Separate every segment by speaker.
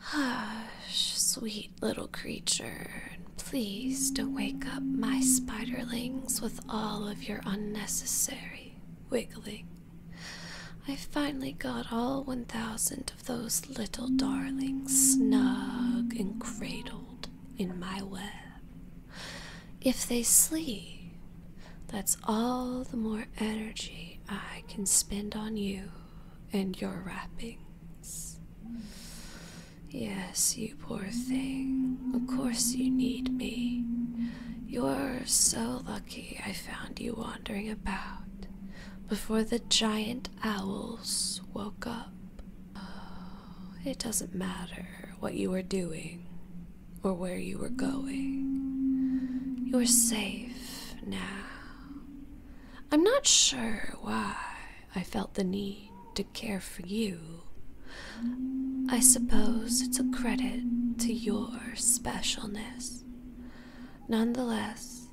Speaker 1: Hush, sweet little creature, and please don't wake up my spiderlings with all of your unnecessary wiggling. I have finally got all 1,000 of those little darlings snug and cradled in my web. If they sleep, that's all the more energy I can spend on you and your wrappings. Yes, you poor thing. Of course you need me. You're so lucky I found you wandering about before the giant owls woke up. Oh, it doesn't matter what you were doing or where you were going. You're safe now. I'm not sure why I felt the need to care for you. I suppose it's a credit to your specialness. Nonetheless,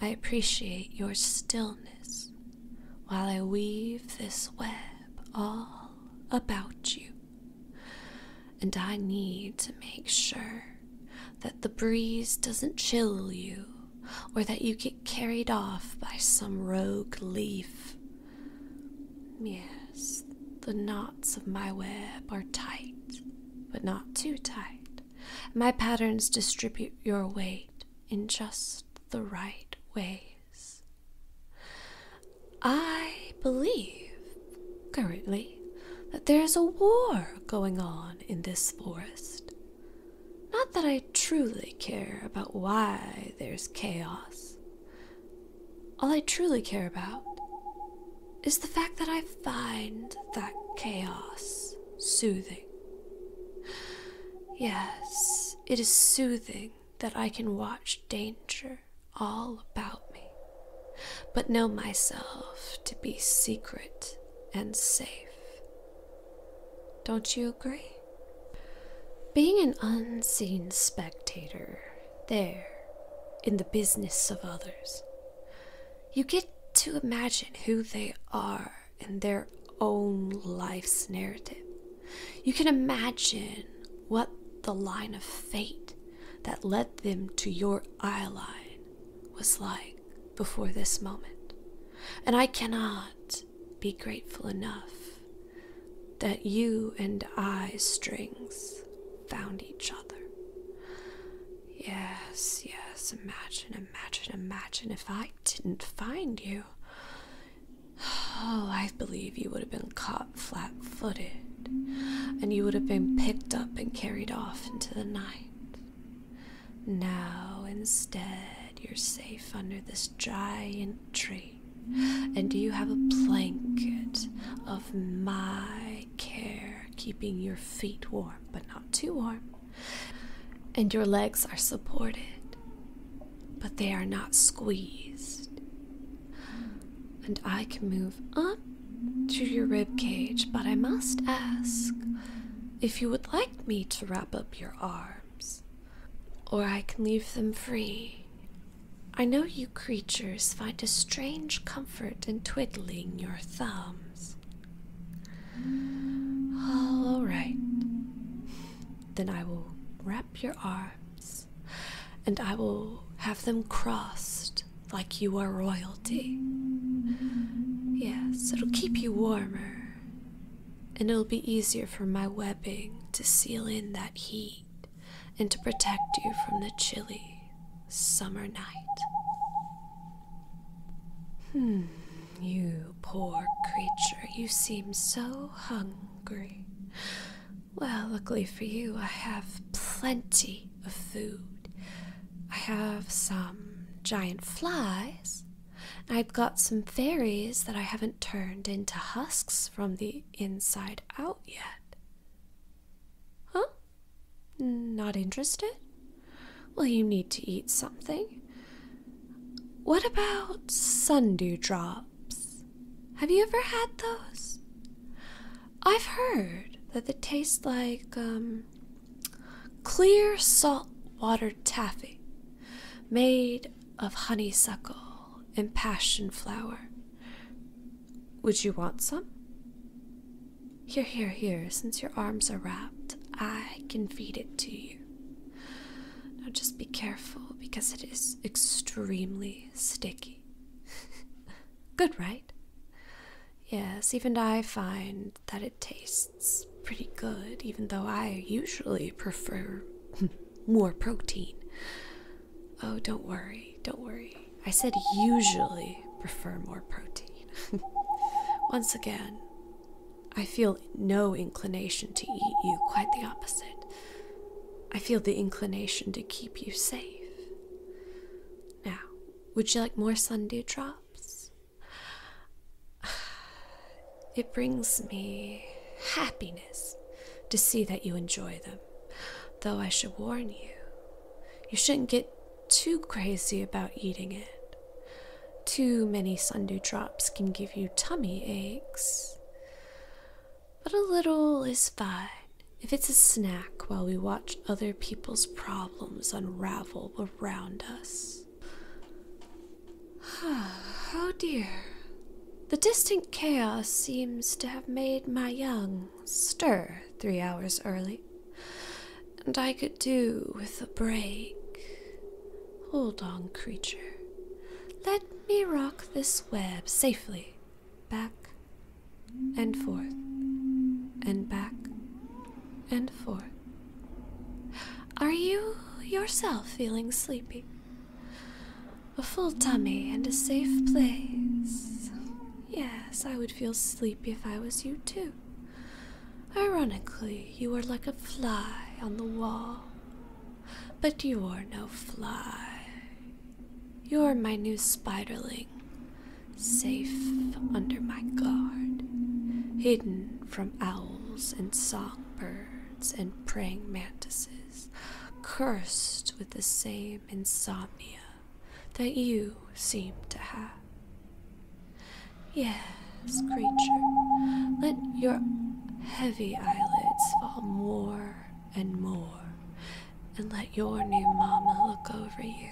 Speaker 1: I appreciate your stillness while I weave this web all about you. And I need to make sure that the breeze doesn't chill you or that you get carried off by some rogue leaf. Yes, the knots of my web are tight, but not too tight. My patterns distribute your weight in just the right ways. I believe currently that there's a war going on in this forest. Not that I truly care about why there's chaos. All I truly care about is the fact that I find that chaos soothing. Yes, it is soothing that I can watch danger all about me, but know myself to be secret and safe. Don't you agree? Being an unseen spectator, there, in the business of others, you get to imagine who they are in their own life's narrative. You can imagine what the line of fate that led them to your eye line was like before this moment. And I cannot be grateful enough that you and I strings found each other. Yes, yes, imagine, imagine, imagine if I didn't find you. Oh, I believe you would have been caught flat footed, and you would have been picked up and carried off into the night. Now, instead, you're safe under this giant tree, and you have a blanket of my care keeping your feet warm, but not too warm, and your legs are supported, but they are not squeezed and I can move up to your rib cage, but I must ask if you would like me to wrap up your arms, or I can leave them free. I know you creatures find a strange comfort in twiddling your thumbs. All right. Then I will wrap your arms, and I will have them crossed like you are royalty. Yes, it'll keep you warmer, and it'll be easier for my webbing to seal in that heat and to protect you from the chilly summer night. Hmm, you poor creature, you seem so hungry. Well, luckily for you, I have plenty of food. I have some giant flies, and I've got some fairies that I haven't turned into husks from the inside out yet. Huh? Not interested? Well, you need to eat something. What about sundew drop? Have you ever had those? I've heard that they taste like um, clear salt water taffy made of honeysuckle and passion flower. Would you want some? Here, here, here, since your arms are wrapped, I can feed it to you. Now just be careful because it is extremely sticky. Good, right? Yes, even I find that it tastes pretty good, even though I usually prefer more protein. Oh, don't worry, don't worry. I said usually prefer more protein. Once again, I feel no inclination to eat you, quite the opposite. I feel the inclination to keep you safe. Now, would you like more sundew drops? It brings me happiness to see that you enjoy them, though I should warn you, you shouldn't get too crazy about eating it. Too many sundew drops can give you tummy aches. But a little is fine if it's a snack while we watch other people's problems unravel around us. oh dear. The distant chaos seems to have made my young stir three hours early, and I could do with a break. Hold on, creature. Let me rock this web safely back and forth and back and forth. Are you yourself feeling sleepy? A full tummy and a safe place. Yes, I would feel sleepy if I was you too. Ironically, you are like a fly on the wall, but you are no fly. You are my new spiderling, safe under my guard, hidden from owls and songbirds and praying mantises, cursed with the same insomnia that you seem to have. Yes, creature, let your heavy eyelids fall more and more, and let your new mama look over you.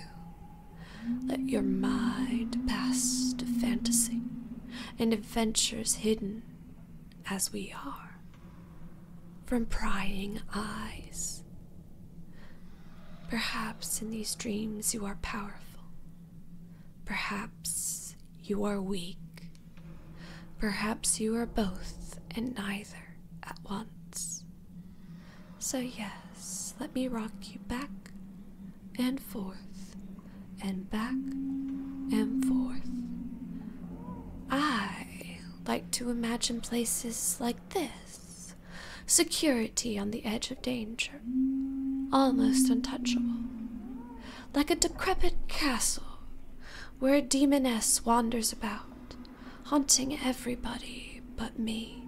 Speaker 1: Let your mind pass to fantasy and adventures hidden as we are from prying eyes. Perhaps in these dreams you are powerful Perhaps you are weak. Perhaps you are both and neither at once. So, yes, let me rock you back and forth and back and forth. I like to imagine places like this security on the edge of danger almost untouchable, like a decrepit castle where a demoness wanders about, haunting everybody but me.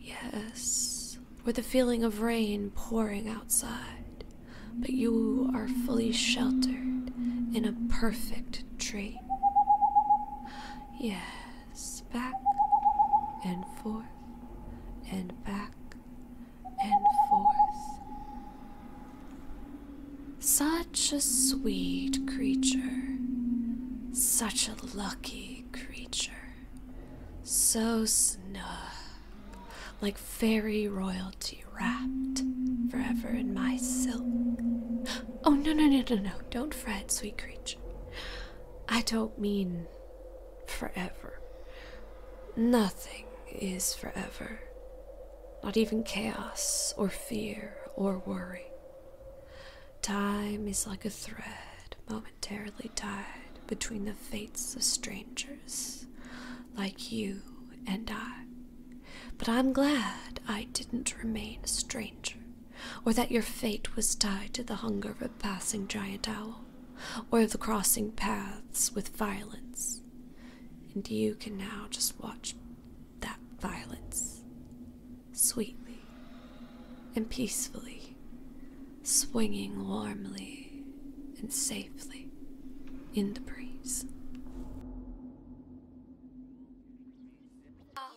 Speaker 1: Yes, with a feeling of rain pouring outside, but you are fully sheltered in a perfect tree. Yes, back and forth, and back and forth. Such a sweet creature, such a lucky creature, so snug, like fairy royalty wrapped forever in my silk. Oh, no, no, no, no, no, don't fret, sweet creature. I don't mean forever. Nothing is forever, not even chaos or fear or worry. Time is like a thread momentarily tied between the fates of strangers like you and I. But I'm glad I didn't remain a stranger or that your fate was tied to the hunger of a passing giant owl, or of the crossing paths with violence. And you can now just watch that violence sweetly and peacefully, swinging warmly and safely in the breeze. Ah.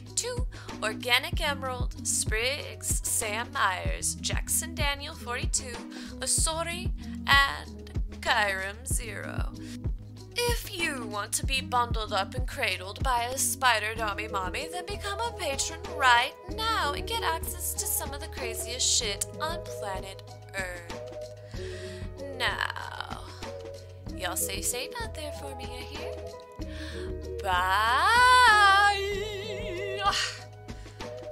Speaker 1: two Organic Emerald, Spriggs, Sam Myers, Jackson Daniel 42, Osori, and Kyram Zero. If you want to be bundled up and cradled by a spider dommy mommy, then become a patron right now and get access to some of the craziest shit on planet Earth. Now, y'all say say not there for me, I hear? Bye!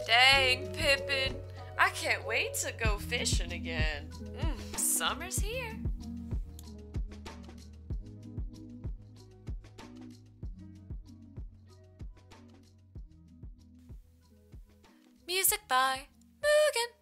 Speaker 1: Dang, Pippin. I can't wait to go fishing again. Mm, summer's here. Music by Mugen.